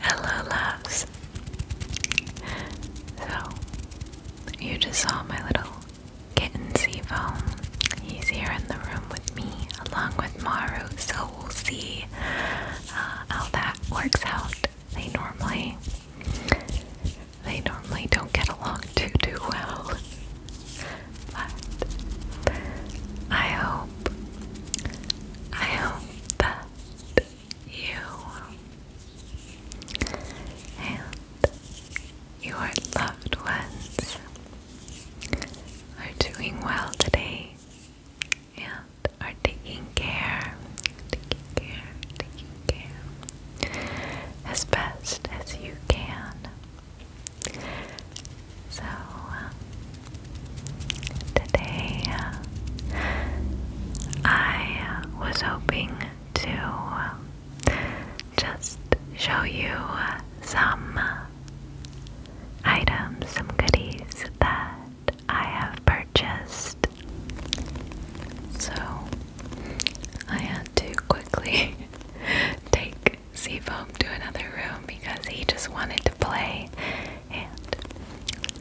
Hello, loves. So, you just saw my little kitten Seafoam. He's here in the room with me, along with Maru, so we'll see uh, how that works out. They normally they normally don't get along too too well. But I hope I hope that you and your loved ones are doing well today and are taking care, taking care, taking care as best as you can. So, uh, today uh, I was hoping to uh, just show you some items, some goodies that I have purchased. So, I had to quickly take Seafoam to another room because he just wanted to play, and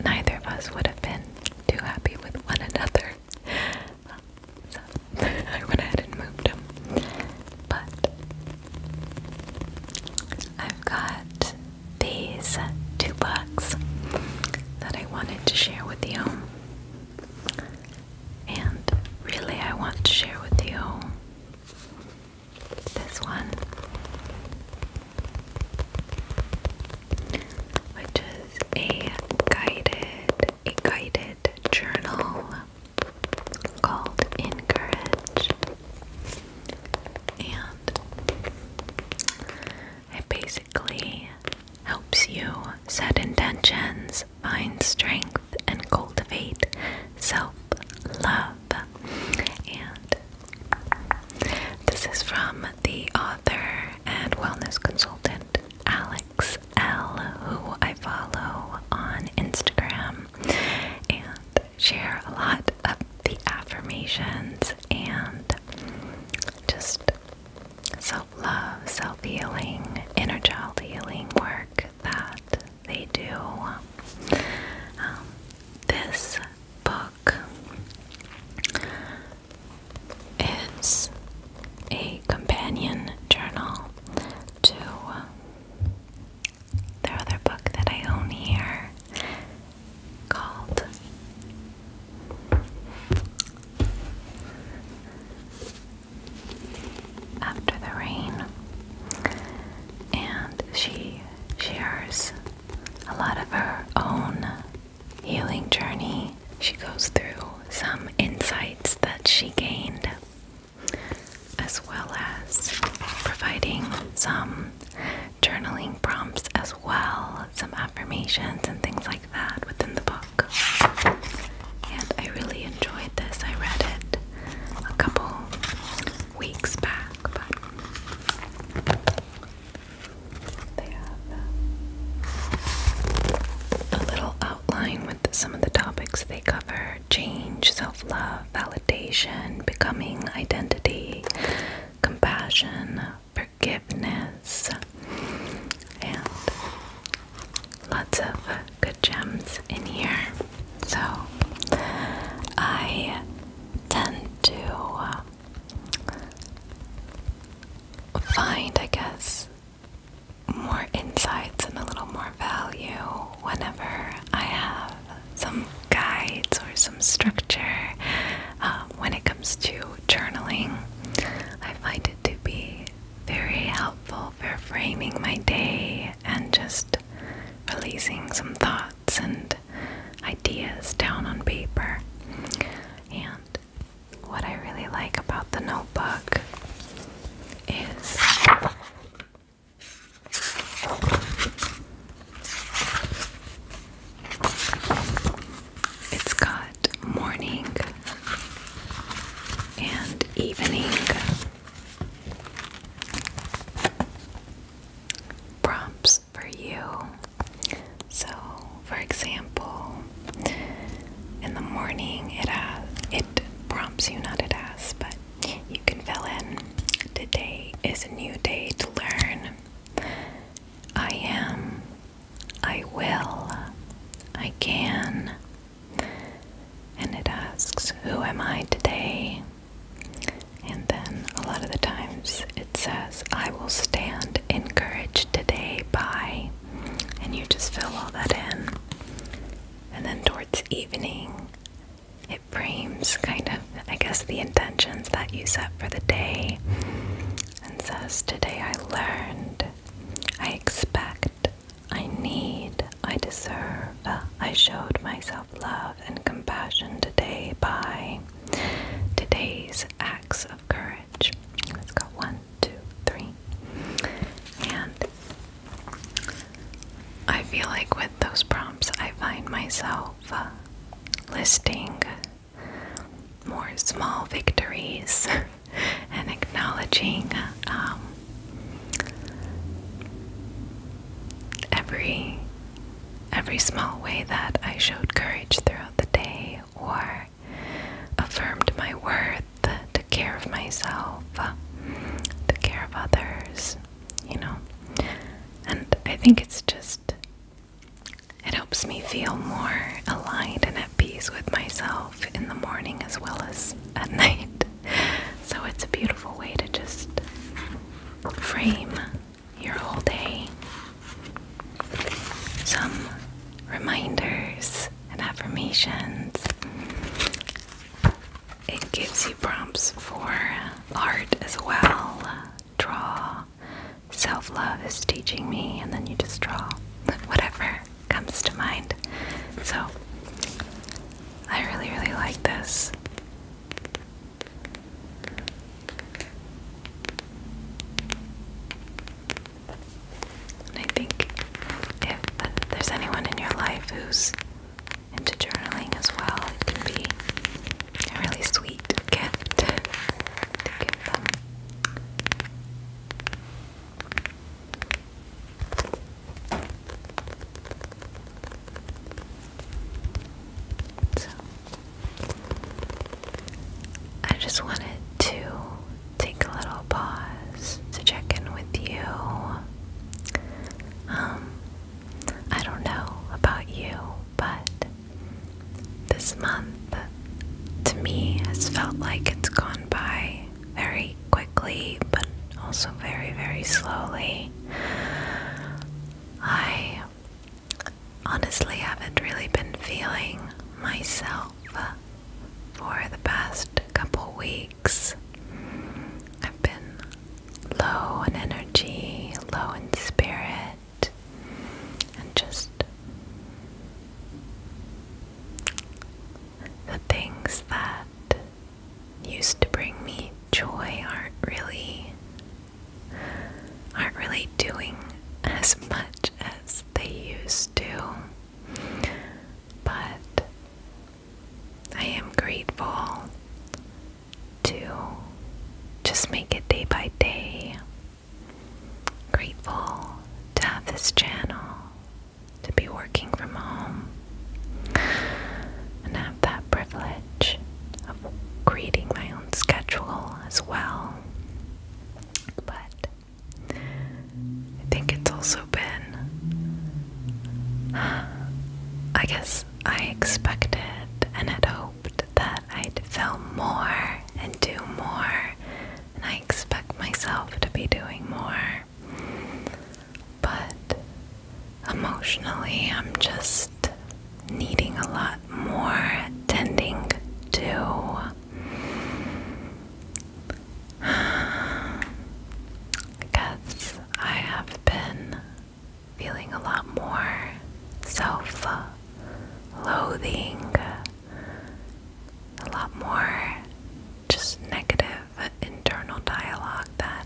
neither of us would have been too happy with one another. so I went ahead and moved him. But I've got these two books that I wanted to share with you. And really, I want to share with you this one, which is a guided, a guided journal called Encourage, and it basically helps you set intentions find strength and cultivate self love. And this is from the author and wellness consultant Alex L, who I follow on Instagram and share a lot of the affirmations and just so love, self healing, inner child healing work that they do. Um, this book is a companion journal to their other book that I own here called after the rain, and she shares a lot of her own healing journey. She goes through some insights that she gained, as well as providing some journaling prompts, as well, some affirmations and things like that within the book. And I really enjoyed this. I read it a couple weeks back, they have uh, a little outline with some of the topics they cover change, self love, validation, becoming, identity, compassion, forgiveness, and lots of good gems in here. So I tend to uh, find, I guess, more insights and a little more value whenever I have some guides or some structure. Uh, when it comes to journaling, I find it to be very helpful for framing my day and just releasing some thoughts and ideas down on paper. And what I really like about the notebook is it's got morning and evening prompts for you. So, for example, in the morning, it has, it prompts you not it has, but you can fill in. Today is a new day to learn. I am. I will. I can. And it asks, Who am I today? And then a lot of the times it says, I will stand encouraged today by, and you just fill all that in. And then towards evening, it frames kind of, I guess, the intentions that you set for the day and says, Today I learned, I expect, I need, I deserve. Uh, I showed myself love and compassion today by today's acts of courage. Let's go one, two, three. And I feel like with those prompts, I find myself uh, listing more small victories and acknowledging um, every every small way that I showed courage throughout the day or affirmed my worth, took care of myself, took care of others, you know. And I think it's just, it helps me feel more aligned and at peace with myself in the morning as well as at night. So it's a beautiful way to just frame your whole day. Some reminders and affirmations. It gives you prompts for art as well. Draw. Self love is teaching me, and then you just draw whatever comes to mind. So I really, really like this. And I think if there's anyone in your life who's into journaling as well, it can be a really sweet gift to give them. I just wanted to take a little pause to check in with you. Um, I don't know about you, but this month to me has felt like it's gone by very quickly, but also very, very slowly. I honestly haven't really been feeling myself for the past couple weeks. I've been low in energy, low in spirit, and just the things that used to bring me joy aren't really aren't really doing as much as they used to. But I am grateful to just make it day by day. Grateful to have this channel to be working from home and have that privilege of creating my own schedule as well. But I think it's also been, I guess I expected and had hoped that I'd film more and do more, and I expect myself to be doing more. But emotionally, I'm just needing a lot more tending to. I guess I have been feeling a lot more self loathing a lot more just negative internal dialogue that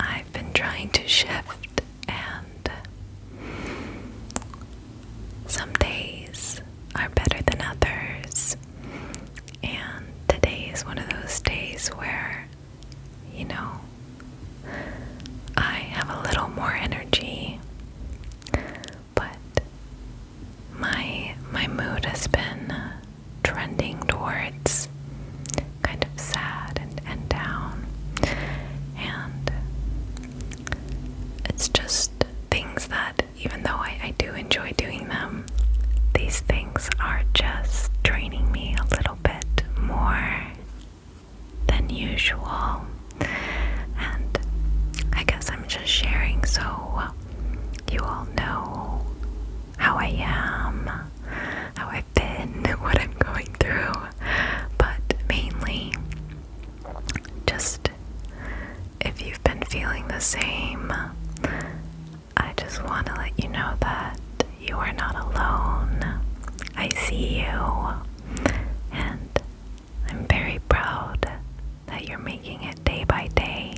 I've been trying to shift, and some days are better than others. And today is one of those days where, you know, I have a little more energy but my my mood has been uh, trending towards kind of sad and, and down and it's just things that even though I, I do enjoy doing them these things are just draining me a little bit more than usual and I guess I'm just sharing so you all know how I am, how I've been, what I'm going through, but mainly just if you've been feeling the same, I just want to let you know that you are not alone. I see you, and I'm very proud that you're making it day by day.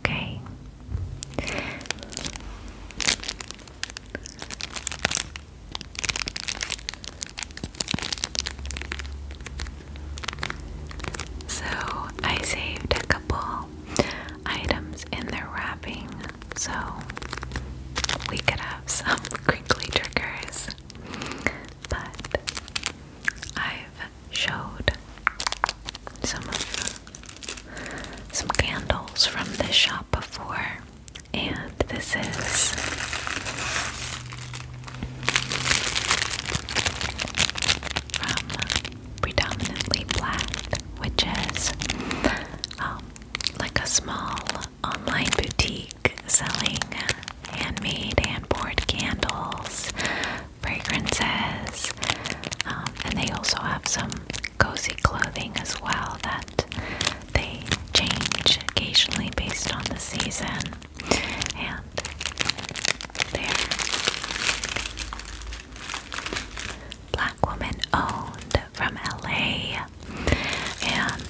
Okay? So, I saved a couple items in their wrapping so we could have some crinkly triggers but I've showed some some candles from this shop before, and this is from predominantly black, which is um, like a small online boutique selling handmade and board candles fragrances, um, and they also have some cozy clothing as well that they change occasionally based on the season. And there, black woman owned from LA, and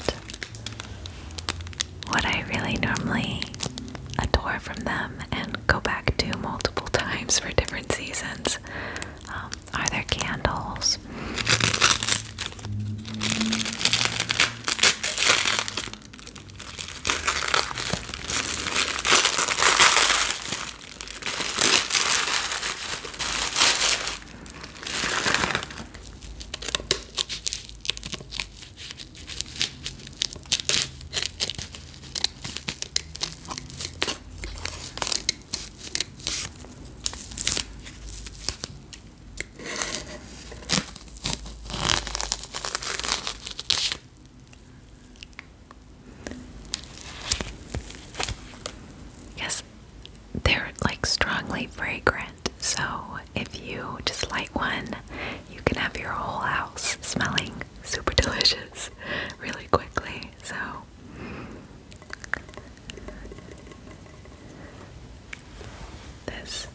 what I really normally adore from them and go back to multiple times for different seasons um, are their candles. Yes, they're like strongly fragrant, so if you just light one, you can have your whole house smelling super delicious really quickly. So, this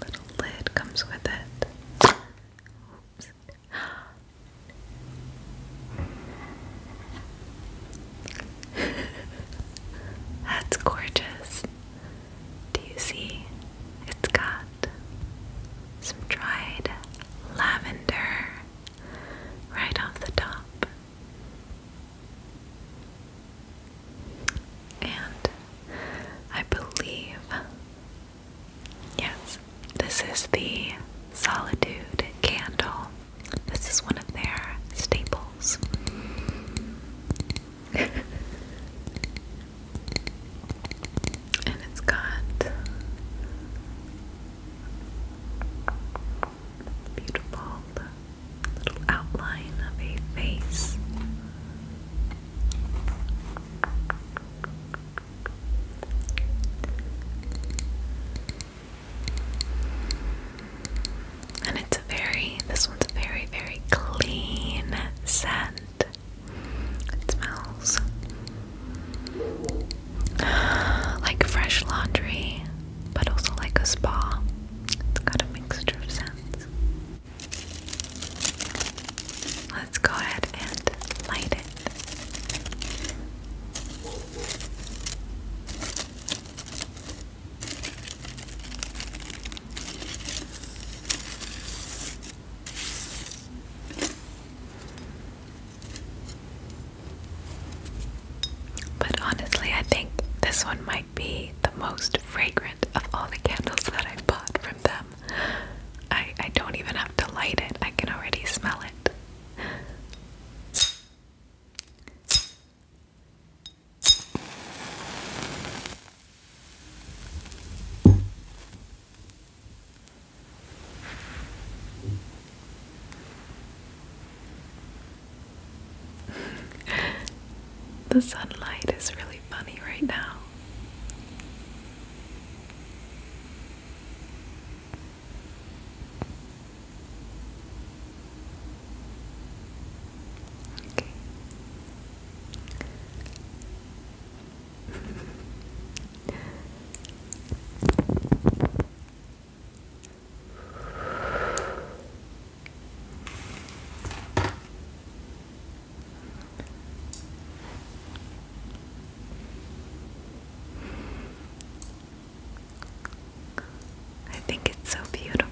little lid comes with it. That's gorgeous. Do you see? It's got some dried lavender right off the top. And I believe, yes, this is the Solitude candle. This is one of their staples and it's got beautiful little outline of a face. And it's very, this one's very, very clean scent. It smells like fresh laundry, but also like a spa. It's got a mixture of scents. Let's go ahead and light it. But honestly, I think this one might be the most fragrant of all the candles that I have bought from them. I, I don't even have to light it, I can already smell it. the sunlight is really funny right now. I think it's so beautiful.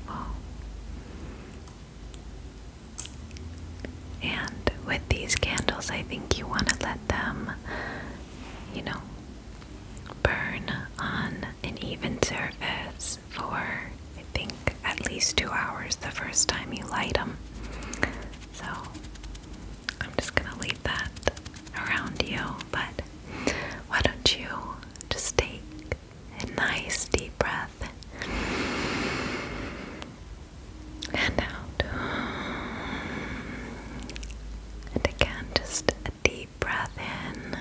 And with these candles, I think you want to let them, you know, burn on an even surface for I think at least two hours the first time you light them. So I'm just gonna leave that around you, but why don't you just take a nice deep breath and out. And again, just a deep breath in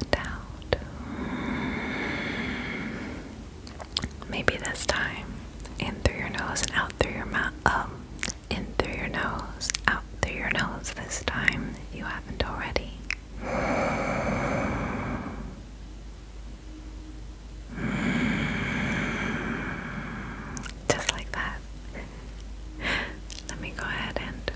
and out. Maybe this time, in through your nose and out through your mouth. Um, in through your nose, out through your nose this time, if you haven't already. Just like that. Let me go ahead and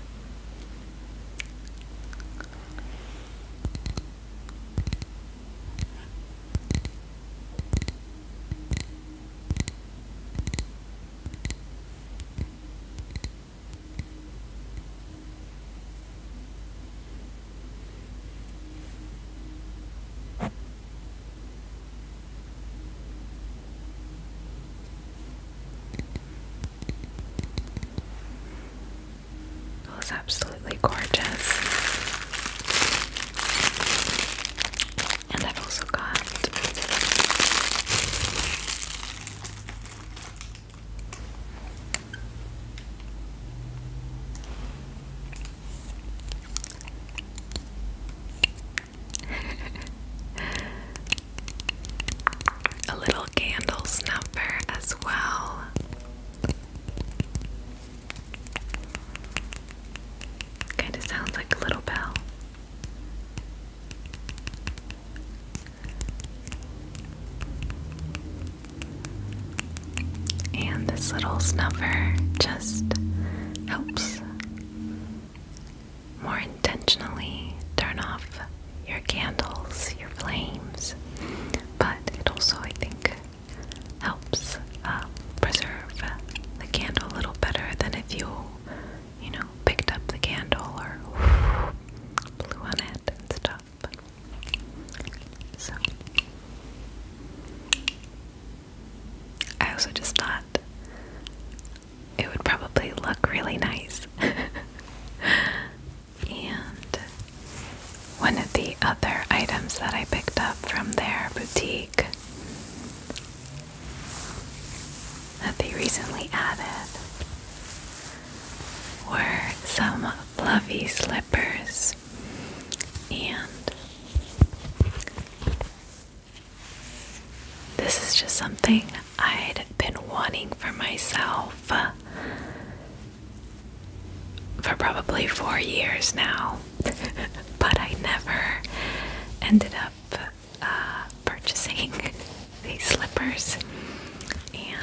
it was absolutely gorgeous. And I've also got A little candle snuffer as well. Kind of sounds like a little bell. And this little snuffer just helps more intentionally turn off your candles, your flames, but it also, I think, helps uh, preserve the candle a little better than if you, you know, picked up the candle or blew on it and stuff. So I also just thought it would probably look really nice. and one of the other items that I picked up from their boutique that they recently added were some fluffy slippers and this is just something I'd been wanting for myself for probably four years now, but I never ended up uh, purchasing these slippers, and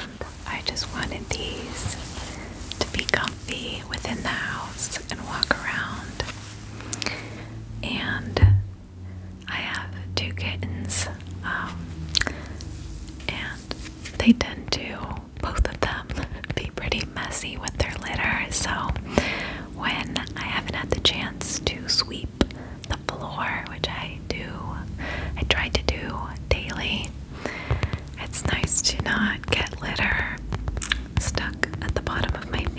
I just wanted these to be comfy within the house and walk around. And I have two kittens, um, and they tend to, both of them, be pretty messy with their litter. So when I haven't had the chance to sweep the floor, which I do, I try to do daily, it's nice to not get litter stuck at the bottom of my feet.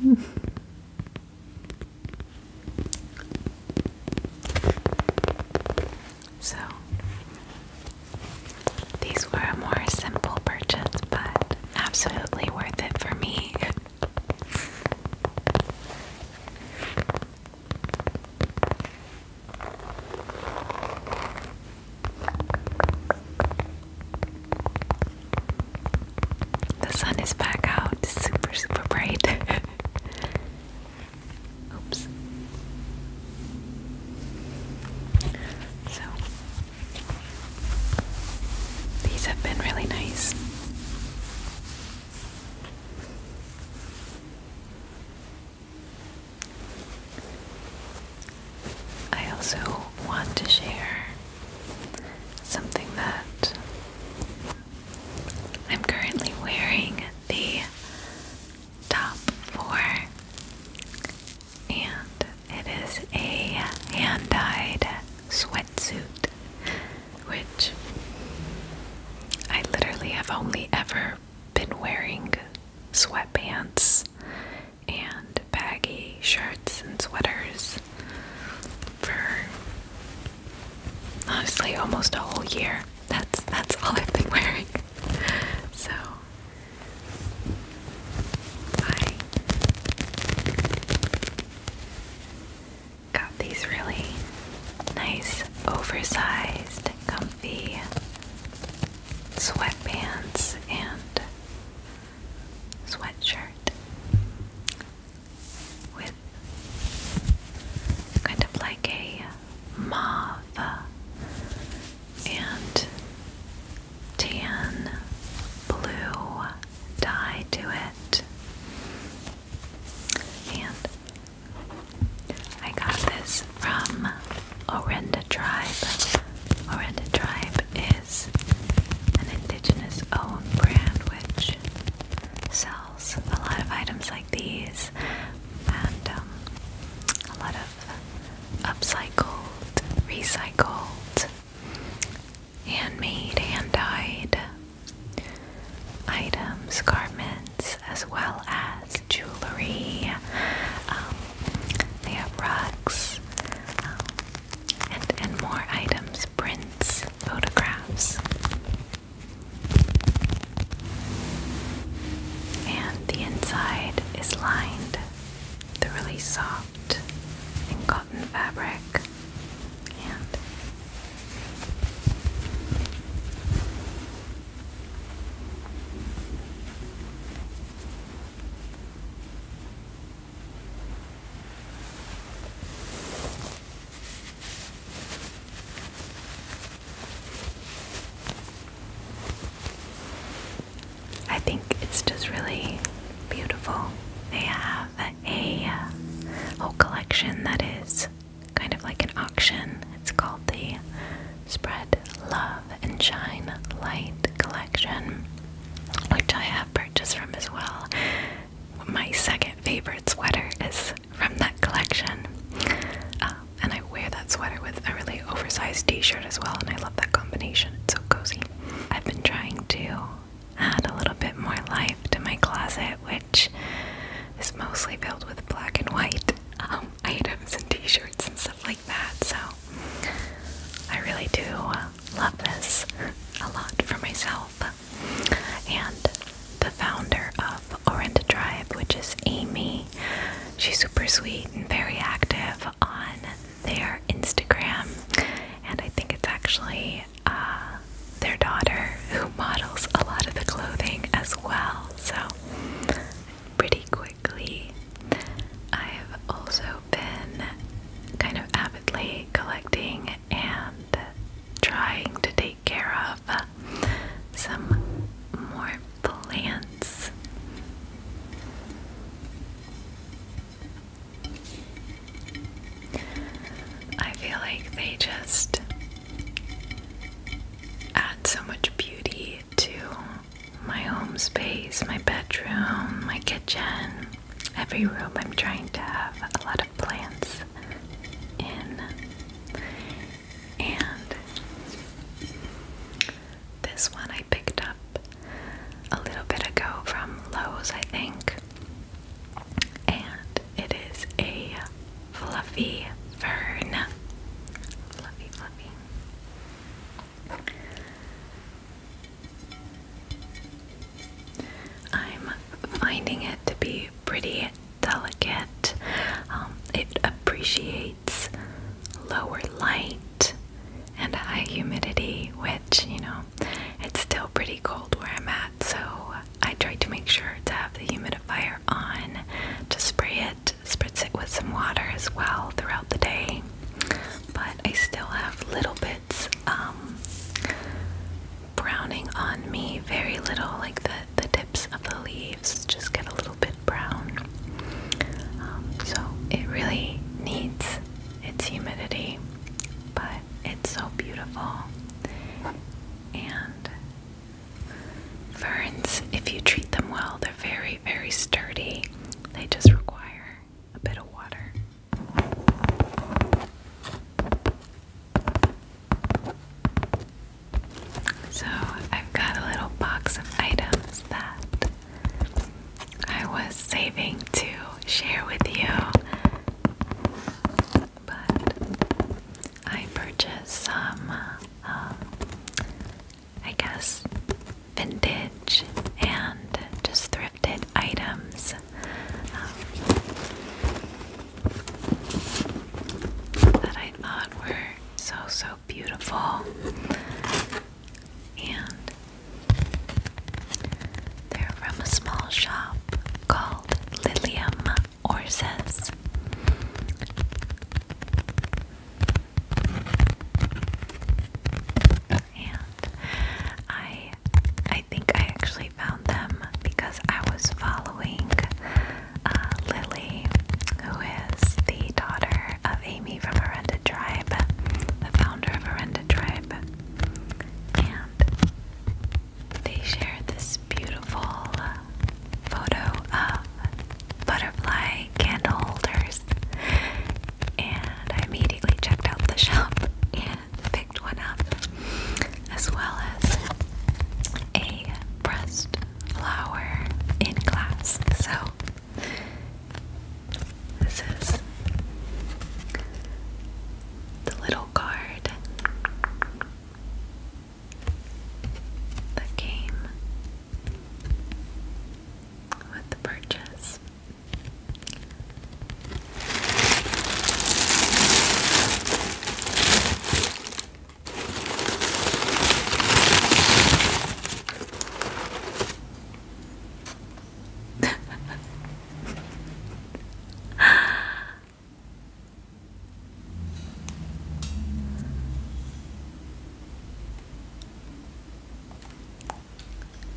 so, these were a more simple purchase, but absolutely worth it for me. The sun is back out, super, super bright. Oops. So, these have been really nice. I also want to share something that I'm currently wearing the top for, and it is a hand dyed sweatsuit, which I literally have only ever been wearing sweatpants and baggy shirts and sweaters for honestly almost a whole year. That's that's all I've been wearing. So I got these really nice oversized comfy sweatpants and sweatshirt with kind of like a mauve and tan blue dye to it. And I got this is from Orenda Tribe. Orenda Tribe is an indigenous owned brand which sells a lot of items like these and um, a lot of upcycled, recycled, handmade, hand dyed items, garments, as well as jewelry. Um, they have rugs um, and, and more items, prints, photographs. And the inside is lined really soft cotton fabric. And I think it's just really beautiful. They have a, uh, whole collection that is kind of like an auction. It's called the Spread Love and Shine Light collection, which I have purchased from as well. My second favorite sweater is from that collection. Um, and I wear that sweater with a really oversized t shirt as well, and I love that combination. It's so cozy. I've been trying to add a little bit more life to my closet, which is mostly filled with black and white um, items and t shirts and stuff like so I really do love this a lot for myself. And the founder of Orinda Tribe, which is Amy, she's super sweet and very active on their Instagram. And I think it's actually uh, their daughter who models a lot of the clothing as well. So, pretty cool, I've also been kind of avidly collecting and trying to take care of some more plants. I feel like they just add so much beauty to my home space, my bedroom, my kitchen, every room. I'm trying to have a lot of plants And this one I picked up a little bit ago from Lowe's, I think. And it is a fluffy fern. Fluffy, fluffy. I'm finding it to be pretty delicate. Um, it appreciates lower light and high humidity, which, you know, it's still pretty cold where I'm at, so I try to make sure to have the humidifier on to spray it spritz it with some water as well throughout the day. But I still have little bits um, browning on me, very little, like the, the tips of the leaves just get a little bit brown. Um, so it really needs its humidity, but it's so beautiful. And ferns, if you treat them well, they're very, very sturdy they just require a bit of water. So, I've got a little box of items that I was saving to share with you, but I purchased some uh, I guess, vintage and just thrifted items. Um, that I thought were so, so beautiful. And they're from a small shop called Lilium Orses. And I I think I actually found them because I was following uh, Lily, who is the daughter of Amy from Arenda Tribe, the founder of Arenda Tribe. And they shared this beautiful photo of butterfly candle holders. And I immediately checked out the shop and picked one up, as well as a pressed flower in glass. So, this is the little card that came with the purchase.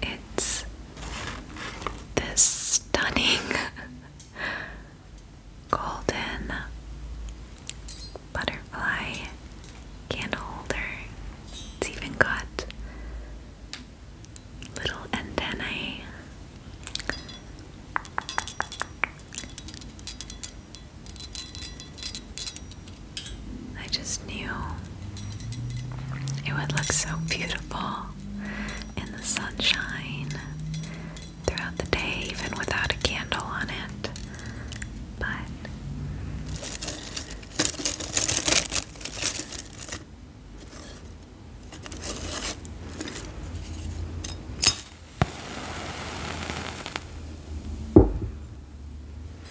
It's this stunning golden butterfly candle It's even got little antennae. I just knew it would look so beautiful in the sunshine throughout the day, even without a candle on it. But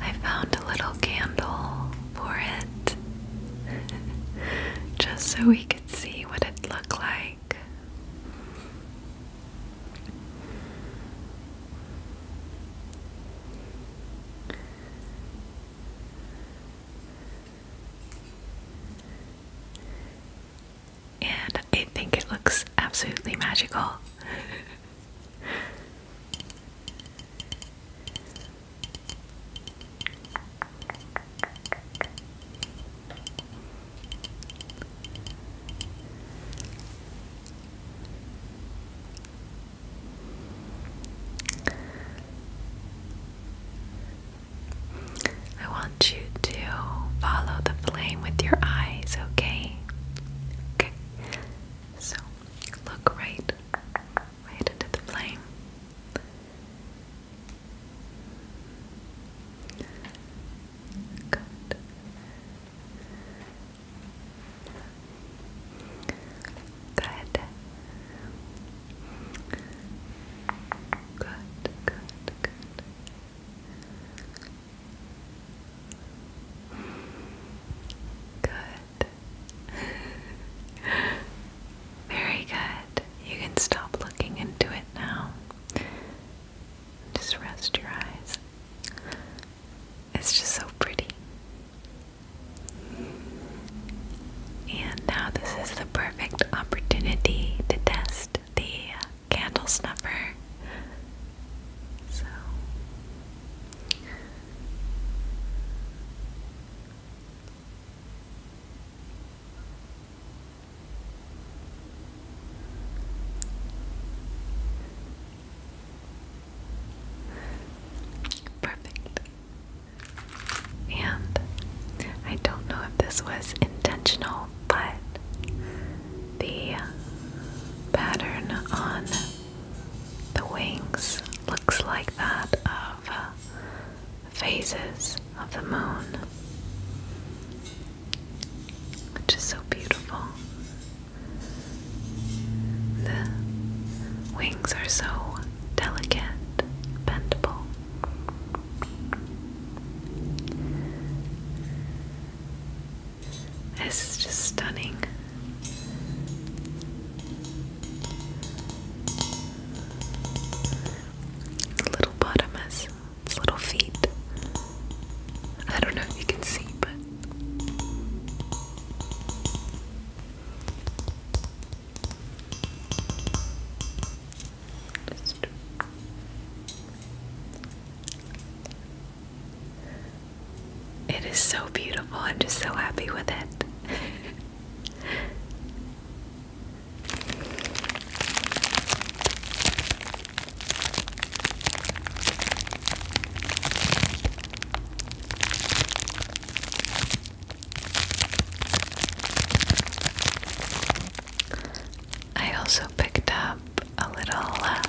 I found a little candle for it just so we could see what it looked like. And I think it looks absolutely magical. I want you to follow the flame with your eyes, okay? So look right, right into the flame. Good. Good. Good, good, good. Good. Very good. You can stop looking into it now. Just rest your eyes. It's just so pretty. And now, this is the perfect opportunity to test the candle snuffer. Perfect. And I don't know if this was intentional, but the pattern on the wings looks like that of uh, phases of the moon, which is so beautiful. The wings are so delicate, bendable. This is just stunning. Little bottomus, its little feet. I don't know if you can see, but. Just it is so beautiful. I'm just so happy with it. I also picked up a little uh,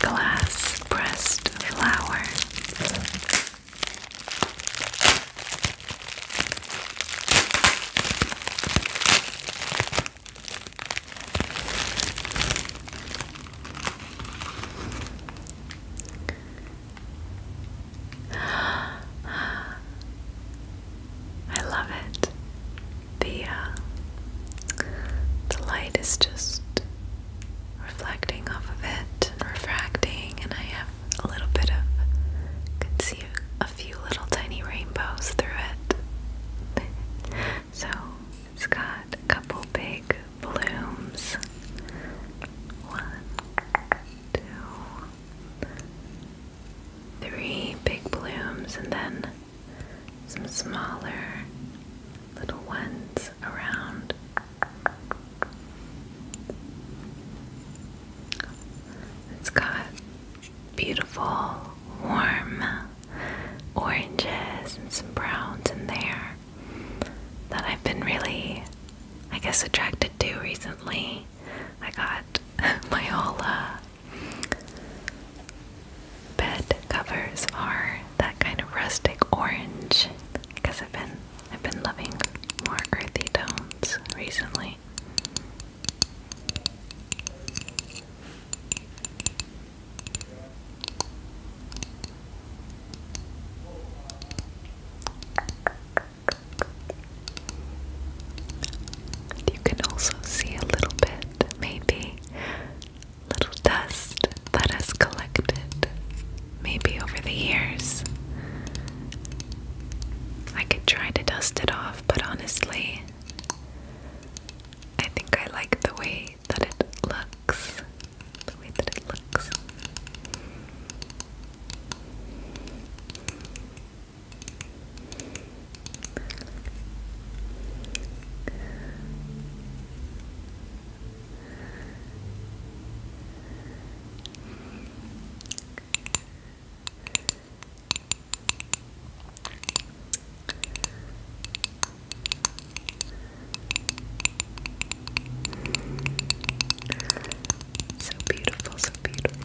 glass pressed flower. I love it. The uh, the light is just reflecting off of it refracting, and I have a little bit of can see a few little tiny rainbows through it. so it's got a couple big blooms. One, two, three big blooms, and then some smaller little ones around. It's got beautiful, warm oranges and some browns in there that I've been really, I guess, attracted to recently. I got Myola Bed covers are that kind of rustic orange because I've been I've been loving more earthy tones recently. You can also see a little bit maybe. Little dust that has collected, maybe over the years. I could try to dust it off, but honestly, I think I like the way that it looks. The way that it looks. So beautiful, so beautiful.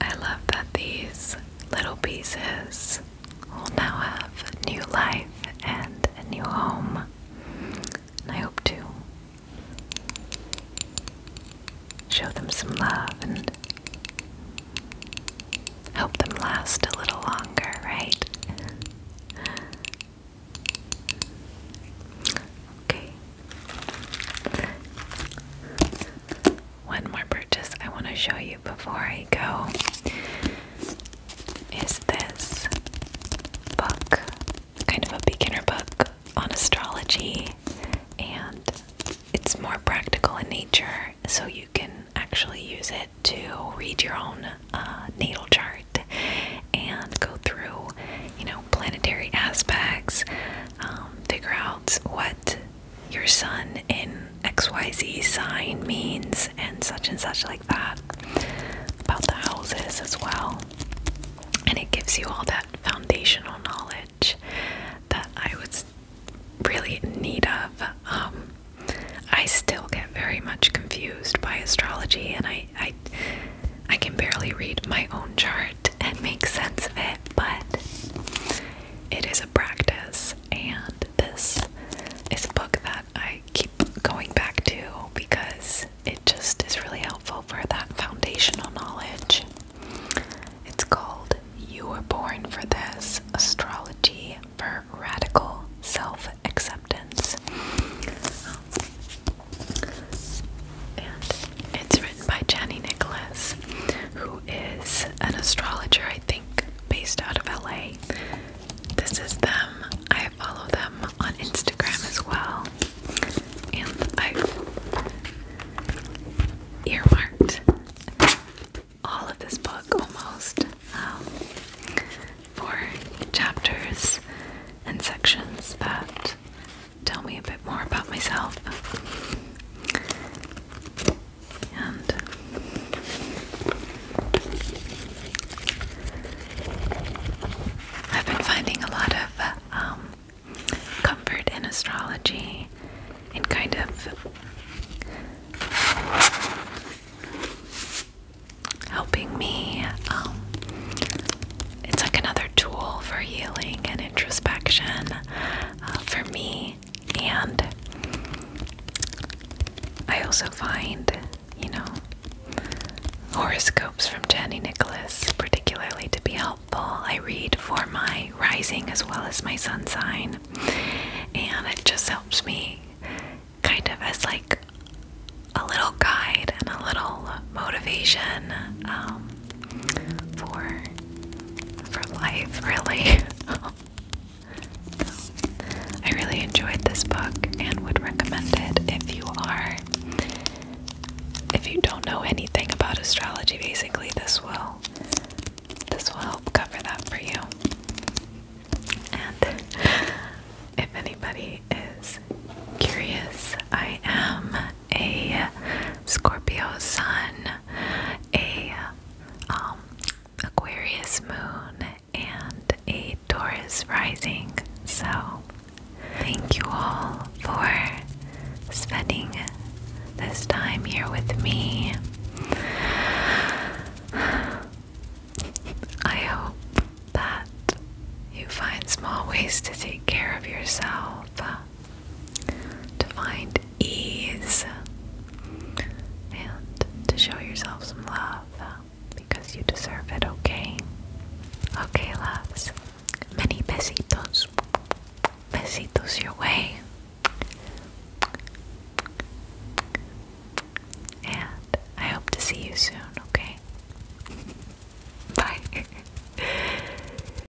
I love that these little pieces will now have new life and a new home. And I hope to show them some love and help them last a little longer, right? Okay one more purchase I want to show you before I go is this book, kind of a beginner book on astrology, and it's more practical in nature, so you can actually use it to read your own uh, natal chart and go through, you know, planetary aspects, um, figure out what your sun in XYZ sign means and such and such like that about the houses as well. And it gives you all that foundational knowledge that I was really in need of. Um, I still get very much confused by astrology and I I can barely read my own chart and make sense of it, but it is a practice, and this is a book that I keep going back to because it just is really helpful for that foundational knowledge. It's called You Were Born for This Astrology for Radical Self Acceptance. And it's written by Jenny Nicholas, who is an astrologer, I think, based out of LA. This is them. I follow them on Instagram as well. And i earmarked all of this book almost um, chapters and sections that tell me a bit more about myself. I've been finding a lot of um, comfort in astrology and kind of helping me. Um, it's like another tool for healing and introspection. Uh, for me. And I also find, you know, horoscopes from Jenny Nicholas particularly to be helpful. I read for my rising as well as my sun sign, and it just helps me kind of as like a little guide and a little motivation um, for for life, really. I really enjoyed this book and would recommend it if you are if you don't know anything about astrology basically this will this will help cover that for you. And if anybody is curious, I am a Scorpio sun, a um, Aquarius moon, and a Taurus rising. So, thank you all for spending this time here with me. I hope that you find small ways to take care of yourself to find ease and to show yourself some love because you deserve it, okay? Okay, loves. Many besitos. Besitos your way. And I hope to see you soon, okay? Bye.